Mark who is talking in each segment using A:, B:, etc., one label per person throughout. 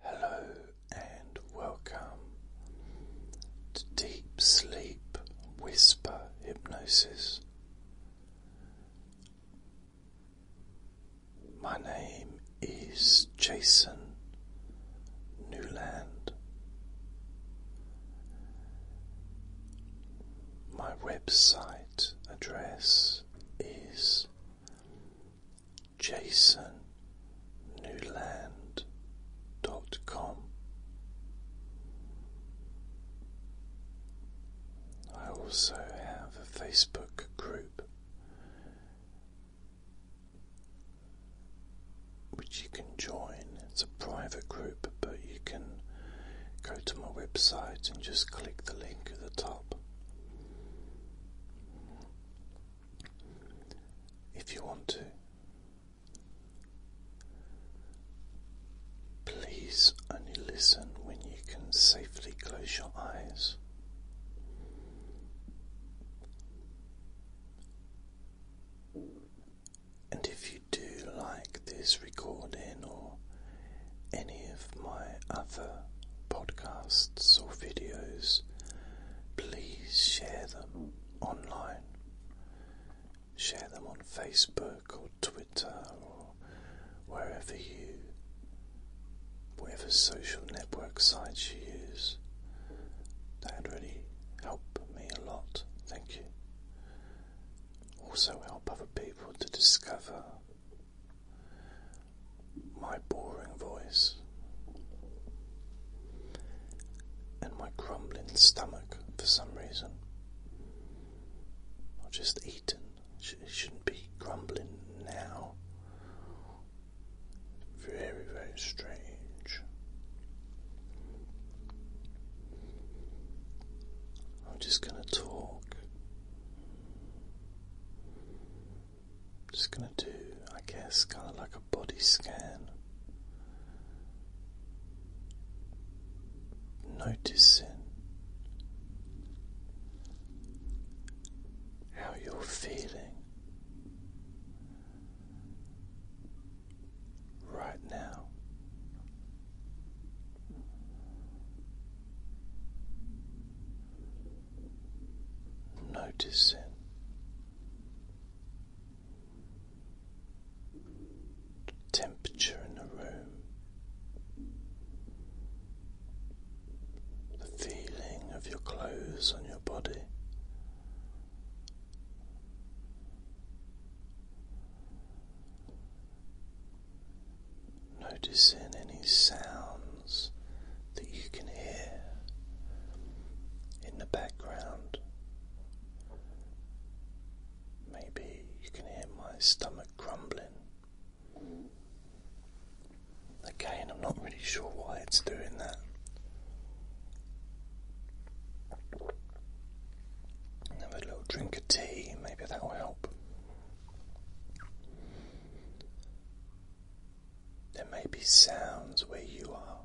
A: Hello and welcome to Deep Sleep Whisper Hypnosis. My name is Jason Newland. My website address is jasonnewland.com. I also have a Facebook group which you can join. It's a private group, but you can go to my website and just click the link at the top if you want to. Please only listen when you can safely close your eyes. And if you do like this recording or any of my other podcasts or videos, please share them online. Share them on Facebook or Twitter or wherever you, whatever social network site you use. that really help me a lot. Thank you. Also, help other people to discover my boring voice and my grumbling stomach for some reason. I've just eaten. It shouldn't be grumbling now. Very, very strange. I'm just going to talk just going to do, I guess, kind of like a body scan. Noticing how you're feeling right now. Noticing temperature in the room, the feeling of your clothes on your body. Noticing any sounds that you can hear in the background. Maybe you can hear my stomach grumbling. Again, I'm not really sure why it's doing that. Have a little drink of tea, maybe that will help. There may be sounds where you are.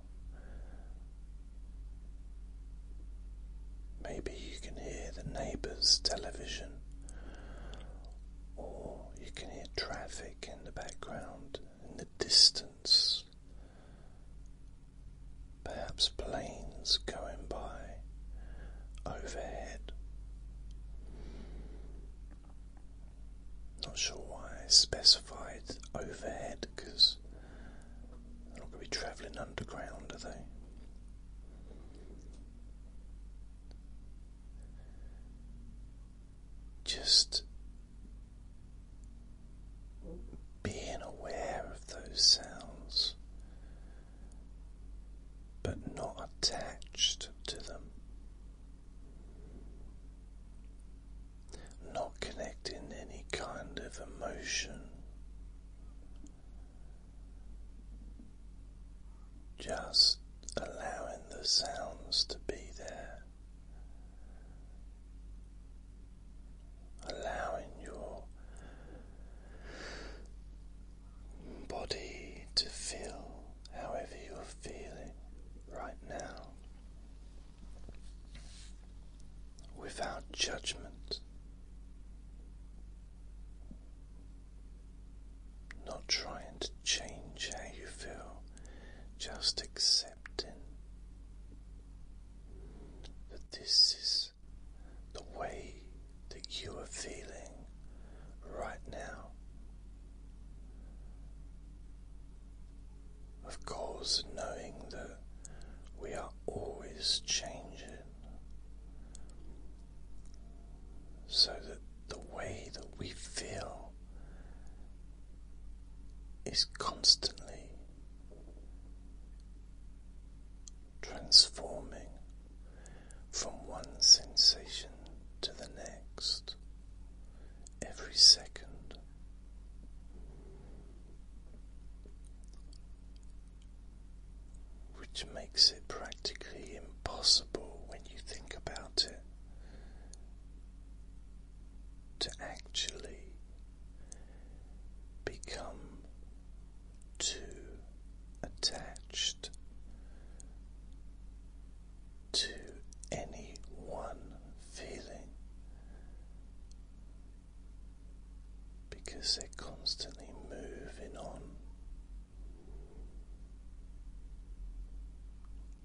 A: Maybe you can hear the neighbour's television, or you can hear traffic in the background, in the distance, perhaps planes going by overhead. Not sure why I specified overhead because they're not going to be travelling underground, are they? Just being aware of those sounds but not attached to them. Not connecting any kind of emotion, just allowing the sounds to be there, allowing your body to feel however you're feeling right now without judgment. Not trying to change how you feel, just accepting that this is the way that you are feeling right now. Of course, knowing that we are always changing, so that the way that we feel is constantly transforming from one sensation to the next every second. Which makes it practically impossible when you think about it to actually become too attached to any one feeling because they're constantly moving on,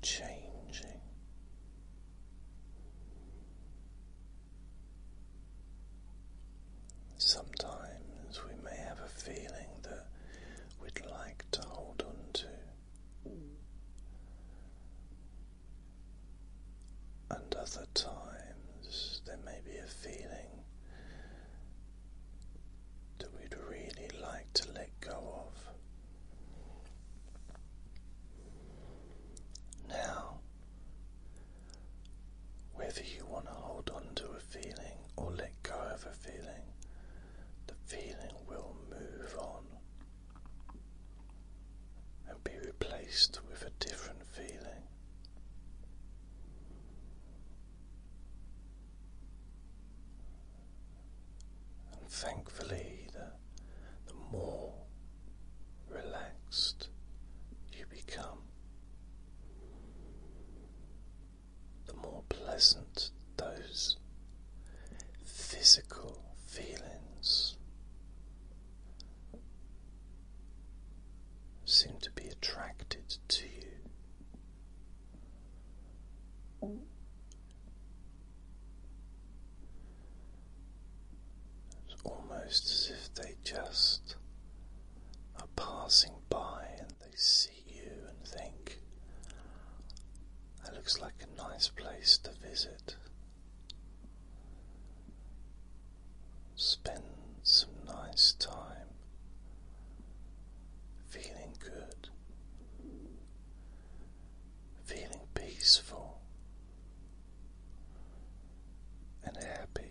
A: changing. Sometimes we may have a feeling that we'd like to hold on to. And other times there may be a feeling that we'd really like to let go of. Now, whether you want to hold on to a feeling or let go of a feeling, the feeling will move on and be replaced with a different feeling. And thankfully, the, more relaxed you become, the more pleasant those physical feelings seem to be attracted to you. It's almost as if they just are passing by and they see you and think, that looks like a nice place to visit. Spend some nice time feeling good, feeling peaceful and happy.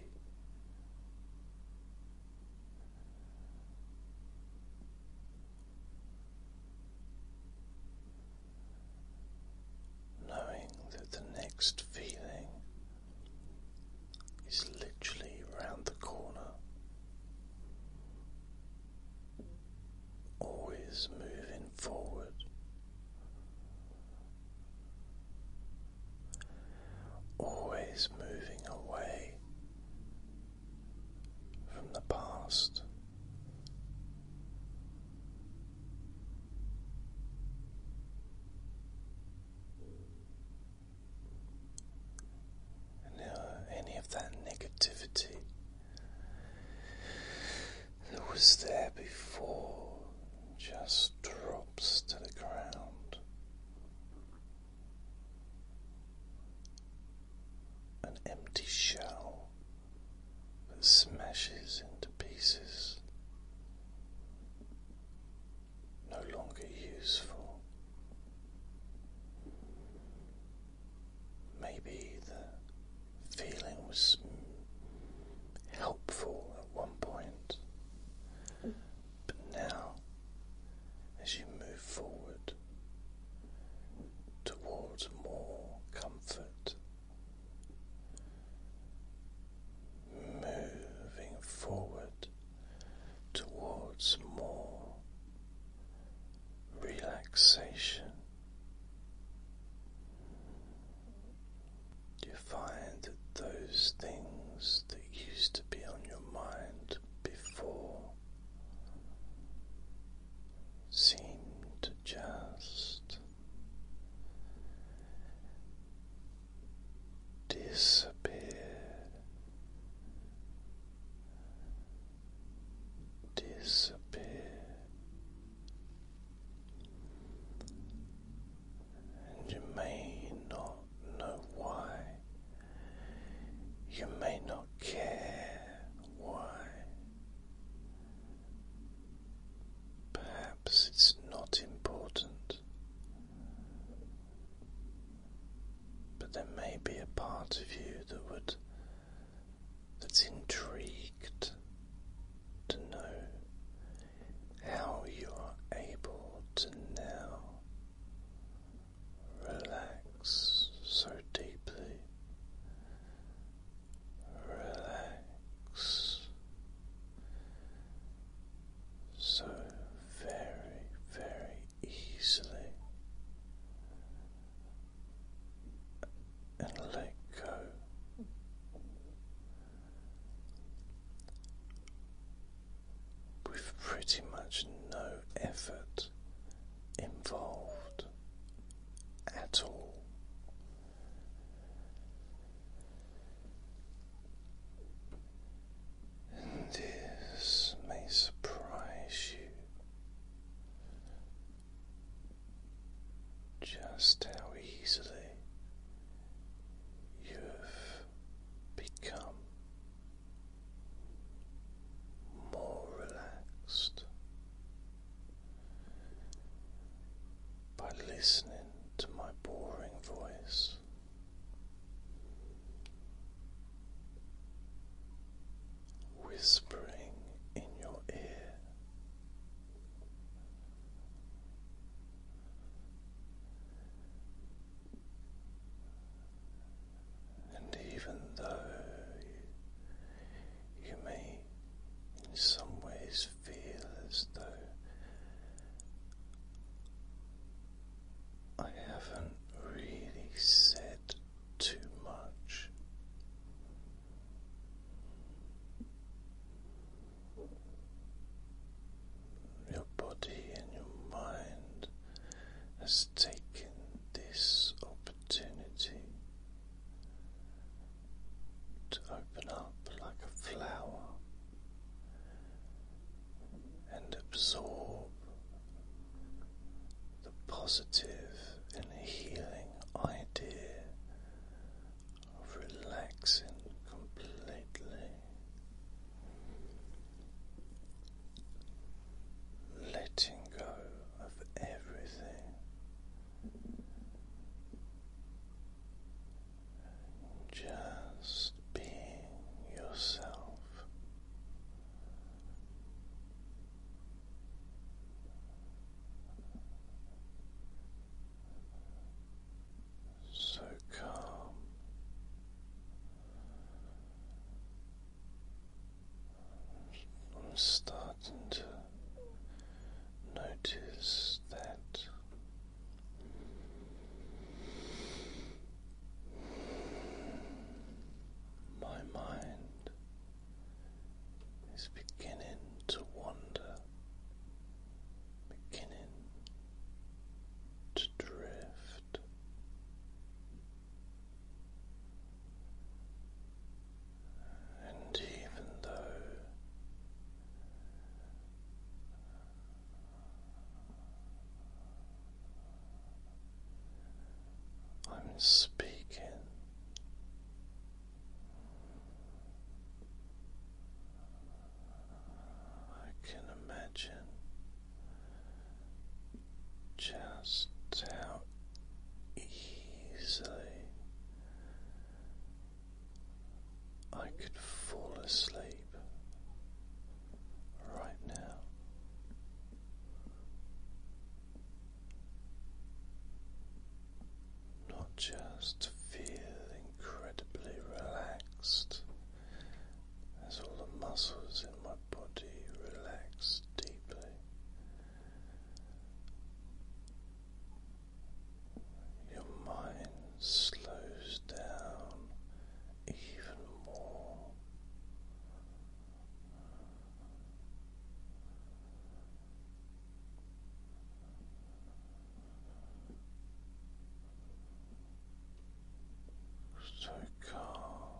A: Knowing that the next feeling is literally round the corner, always moving forward, Always moving away from the past. And now, uh, any of that negativity that was there before just drops to the ground. An empty shell that smashes into pieces, no longer useful. Maybe the feeling was helpful at one point, but now, as you move forward towards more comfort, moving forward towards more relaxation. Do You find that those things that used to be on your mind before seem to just disappear, disappear and you may not know why, you may not care why. Perhaps it's not important, but there may be a part of you that would that's intrigued to know how you are able to now relax so deeply. Relax so very, very easily and let go. With pretty much no effort involved at all, this may surprise you just how easily you have become more relaxed by listening to my boring voice whispering in your ear. And even though you may in some ways feel as though I haven't really said too much. Your body and your mind has taken this opportunity to open up like a flower and absorb the positive and healing idea of relaxing completely. Letting go of everything, just being yourself, so calm. I'm starting to notice that my mind is beginning to wander, beginning to drift. And even though I'm speaking. I can imagine just how easily I could fall asleep right now. Not just feel incredibly relaxed as all the muscles in my body relax deeply. Your mind slows down even more. So calm.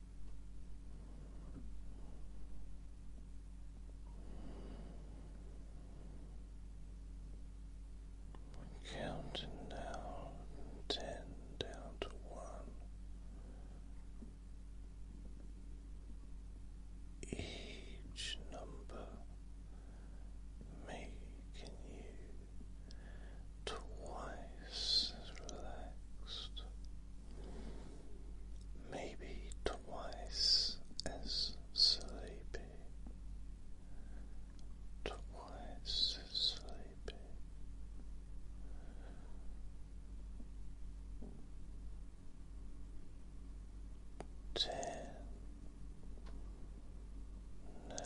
A: We're counting down ten down to one. Each number making you twice as relaxed maybe twice as sleepy, twice sleepy. Ten now